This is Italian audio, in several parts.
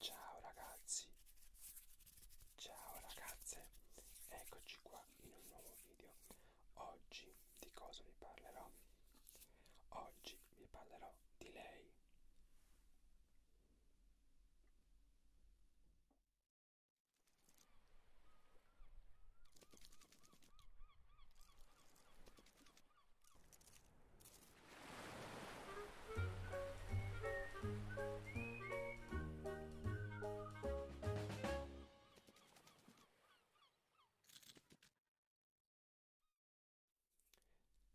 Ciao ragazzi, ciao ragazze, eccoci qua in un nuovo video. Oggi di cosa vi parlerò? Oggi vi parlerò di lei.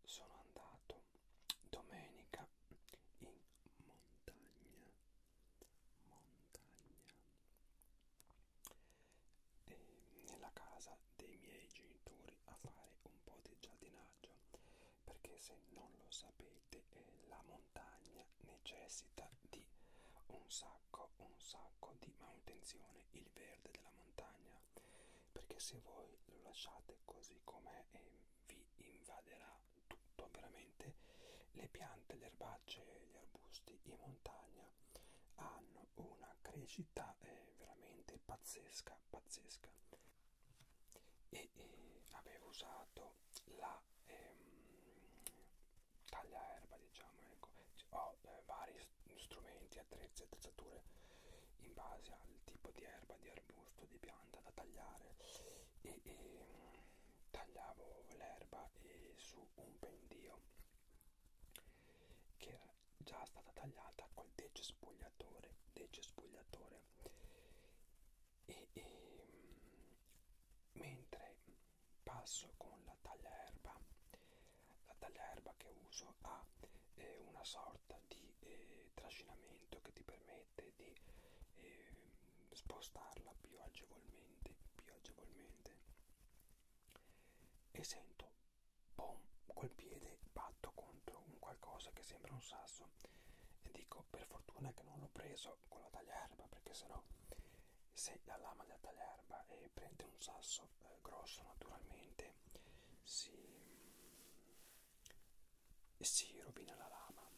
Sono andato domenica in montagna, montagna, e nella casa dei miei genitori a fare un po' di giardinaggio perché se non lo sapete eh, la montagna necessita di un sacco un sacco di manutenzione il verde della montagna perché se voi lo lasciate così com'è eh, vi invaderà tutto veramente le piante le erbacce gli arbusti in montagna hanno una crescita eh, veramente pazzesca pazzesca e, e avevo usato la ehm, taglia erba diciamo ecco ho eh, vari strumenti attrezzi attrezzature in base al tipo di erba di arbusto di pianta da tagliare e, e tagliavo l'erba eh, su un pendio che era già stata tagliata col decespugliatore decespugliatore e, e mentre passo con la tagliaerba la tagliaerba che uso ha eh, una sorta di eh, trascinamento che ti permette di eh, spostarla più agevolmente più agevolmente e sento boom, col piede batto contro un qualcosa che sembra un sasso e dico per fortuna che non l'ho preso con la tagliarba perché sennò se la lama della tagliarba eh, prende un sasso eh, grosso naturalmente si, si rovina la lama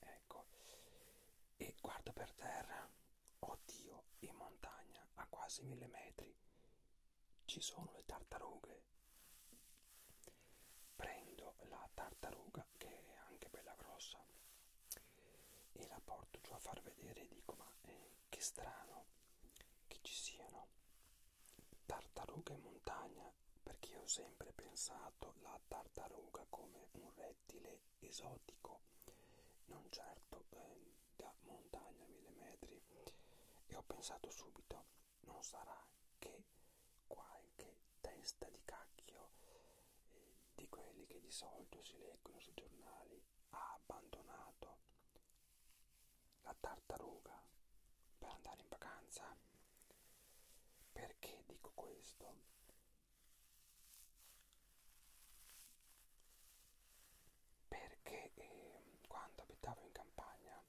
ecco e guardo per terra oddio in montagna a quasi mille metri ci sono le tartarughe prendo la tartaruga che è anche bella grossa e la porto giù a far vedere e dico ma eh, che strano che ci siano tartarughe in montagna perché ho sempre pensato la tartaruga come un rettile esotico non certo eh, da montagna a mille metri e ho pensato subito non sarà che qualche testa di cacchio eh, di quelli che di solito si leggono sui giornali ha abbandonato la tartaruga per andare in vacanza perché dico questo perché eh, quando abitavo in campagna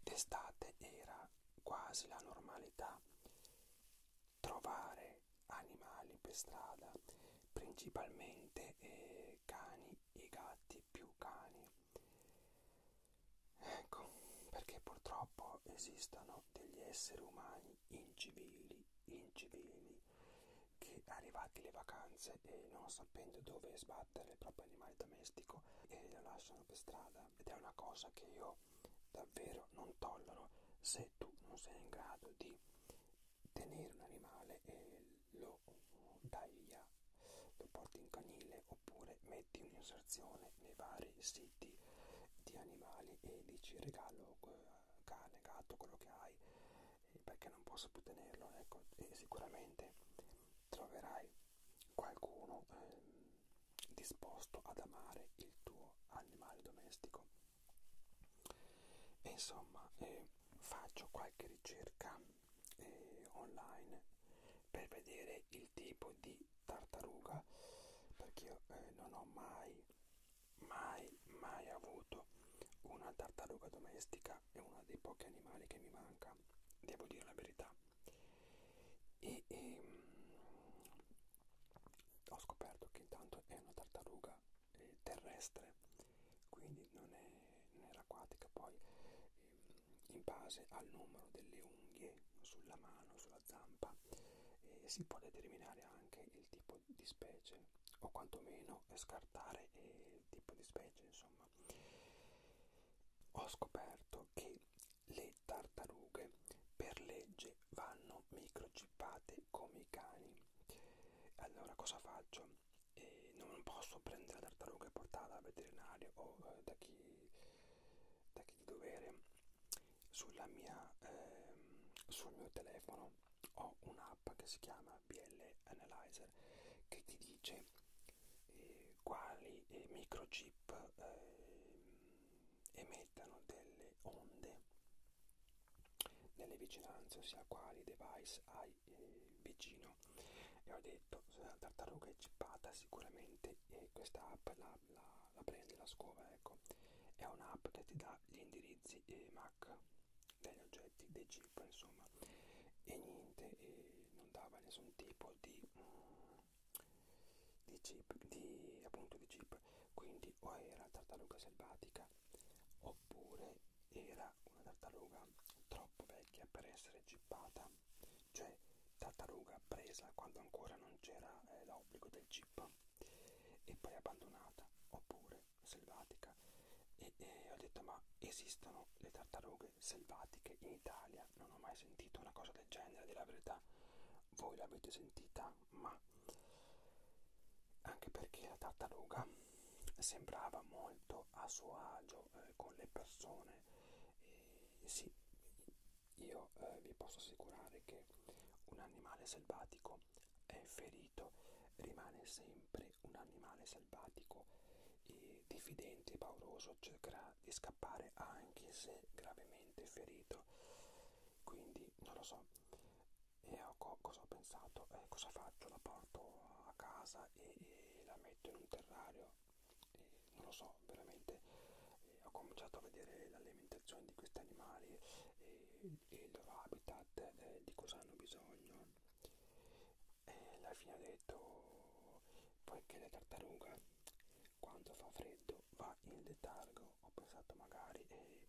d'estate era quasi la normalità trovare animali per strada, principalmente eh, cani e gatti, più cani. Ecco, perché purtroppo esistono degli esseri umani incivili, incivili, che arrivati le vacanze e non sapendo dove sbattere il proprio animale domestico e lo lasciano per strada ed è una cosa che io davvero non tollero se tu non sei in grado di tenere un animale e lo dai via lo porti in canile oppure metti un'inserzione nei vari siti di animali e dici regalo eh, cane, gatto, quello che hai perché non posso più tenerlo ecco e sicuramente troverai qualcuno eh, disposto ad amare il tuo animale domestico e insomma eh, faccio qualche ricerca eh, online per vedere il tipo di tartaruga perché io eh, non ho mai mai mai avuto una tartaruga domestica musica è uno dei pochi animali che mi manca, devo dire la verità. E, e mm, ho scoperto che intanto è una tartaruga eh, terrestre, quindi non, è, non era acquatica. Poi, eh, in base al numero delle unghie sulla mano, sulla zampa, eh, si può determinare anche il tipo di specie o quantomeno scartare eh, il tipo di specie insomma ho scoperto che le tartarughe per legge vanno microchippate come i cani allora cosa faccio? Eh, non posso prendere la tartaruga e portarla al veterinario o eh, da, chi, da chi di dovere sulla mia, eh, sul mio telefono ho un'app che si chiama sistema BL Analyzer che ti dice eh, quali eh, microchip eh, emettano delle onde nelle vicinanze, ossia quali device hai eh, vicino. E ho detto, se la tartaruga è chippata sicuramente eh, questa app la, la, la prende la scuola, ecco. È un'app che ti dà gli indirizzi eh, MAC degli oggetti, dei chip insomma e niente, e non dava nessun tipo di, di chip, di, appunto di chip quindi o era tartaruga selvatica oppure era una tartaruga troppo vecchia per essere chippata cioè tartaruga presa quando ancora non c'era eh, l'obbligo del chip e poi abbandonata oppure selvatica e, e ho detto ma esistono le tartarughe selvatiche in Italia? Non ho mai sentito una cosa del genere, della verità voi l'avete sentita, ma anche perché la tartaruga sembrava molto a suo agio eh, con le persone e sì, io eh, vi posso assicurare che un animale selvatico è ferito rimane sempre un animale selvatico e diffidente e pauroso cercherà di scappare anche se gravemente ferito quindi non lo so e ho, cosa ho pensato eh, cosa faccio la porto a casa e, e la metto in un terrario e non lo so veramente eh, ho cominciato a vedere l'alimentazione di questi animali e e il loro habitat, eh, di cosa hanno bisogno. E alla fine ha detto poiché la tartaruga quando fa freddo va in letargo, ho pensato magari eh,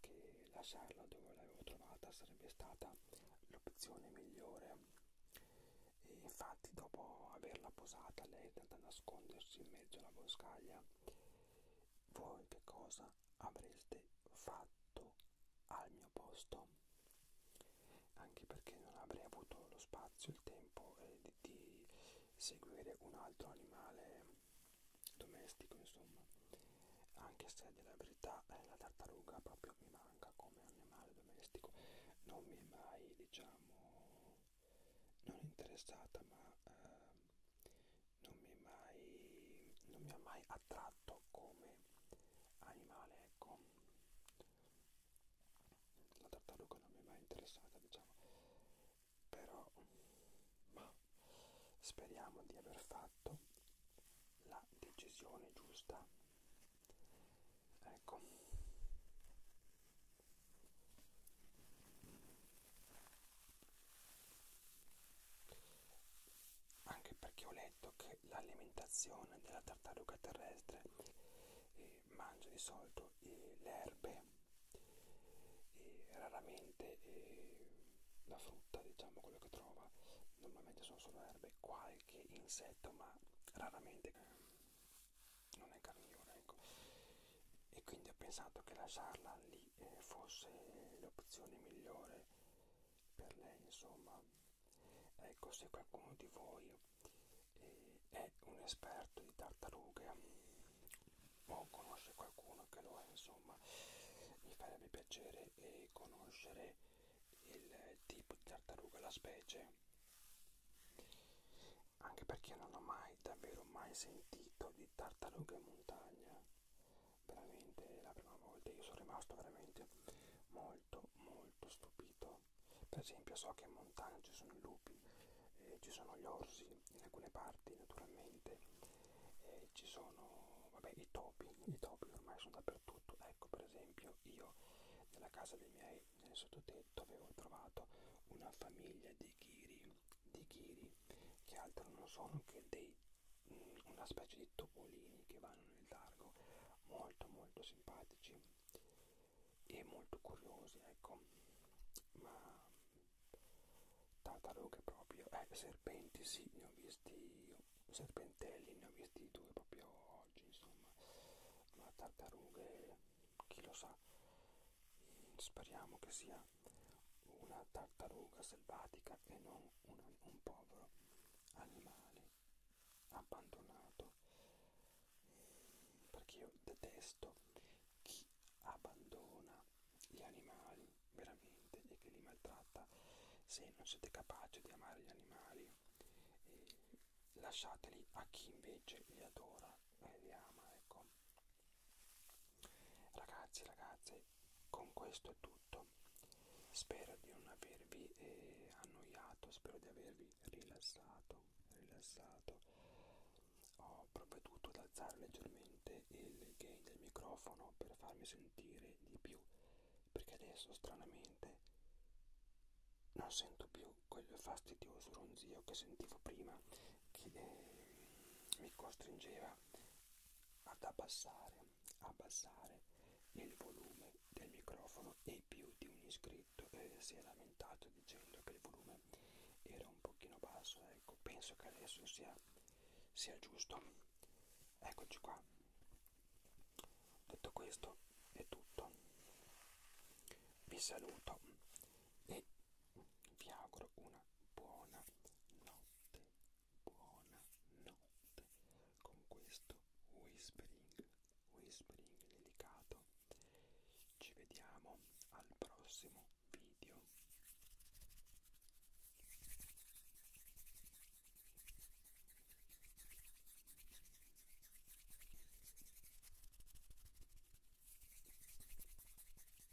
che lasciarla dove l'avevo trovata sarebbe stata l'opzione migliore. E infatti dopo averla posata lei è andata a nascondersi in mezzo alla boscaglia. Voi che cosa avreste fatto al mio posto anche perché non avrei avuto lo spazio il tempo eh, di, di seguire un altro animale domestico insomma anche se a dire la verità eh, la tartaruga proprio mi manca come animale domestico non mi è mai diciamo non interessata ma eh, non mi, è mai, non mi ha mai attratto come animale, ecco. La tartaruga non mi è mai interessata, diciamo. Però, ma speriamo di aver fatto la decisione giusta. Ecco anche perché ho letto che l'alimentazione della tartaruga terrestre eh, mangia di solito eh, le erbe e raramente eh, la frutta diciamo quello che trova normalmente sono solo erbe qualche insetto ma raramente eh, non è carnivora ecco e quindi ho pensato che lasciarla lì eh, fosse l'opzione migliore per lei insomma ecco se qualcuno di voi eh, è un esperto di tartarughe o conosce qualcuno che lo è insomma mi farebbe piacere eh, conoscere il tipo di tartaruga la specie anche perché non ho mai davvero mai sentito di tartarughe in montagna veramente la prima volta io sono rimasto veramente molto molto stupito per esempio so che in montagna ci sono i lupi eh, ci sono gli orsi in alcune parti naturalmente eh, ci sono vabbè i topi i topi ormai sono dappertutto ecco per esempio io nella casa dei miei nel sottotetto avevo trovato una famiglia di di chiri, di chiri che altro non sono che dei, mm, una specie di topolini che vanno nel largo, molto molto simpatici e molto curiosi, ecco, ma tartarughe proprio, eh, serpenti sì, ne ho visti, serpentelli ne ho visti due proprio oggi, insomma, ma tartarughe, chi lo sa, speriamo che sia era una tartaruga selvatica e non un, un povero animale abbandonato perché io detesto chi abbandona gli animali veramente e che li maltratta se non siete capaci di amare gli animali eh, lasciateli a chi invece li adora e li ama ecco ragazzi ragazze con questo è tutto spero di non avervi eh, annoiato spero di avervi rilassato rilassato ho provveduto ad alzare leggermente il gain del microfono per farmi sentire di più perché adesso stranamente non sento più quel fastidioso ronzio che sentivo prima che eh, mi costringeva ad abbassare, abbassare il volume del microfono e più di un iscritto eh, si è lamentato dicendo che il volume era un pochino basso, ecco, penso che adesso sia, sia giusto. Eccoci qua. Detto questo è tutto. Vi saluto e vi auguro una buona notte, buona notte con questo whispering, whispering delicato. Ci vediamo al prossimo video.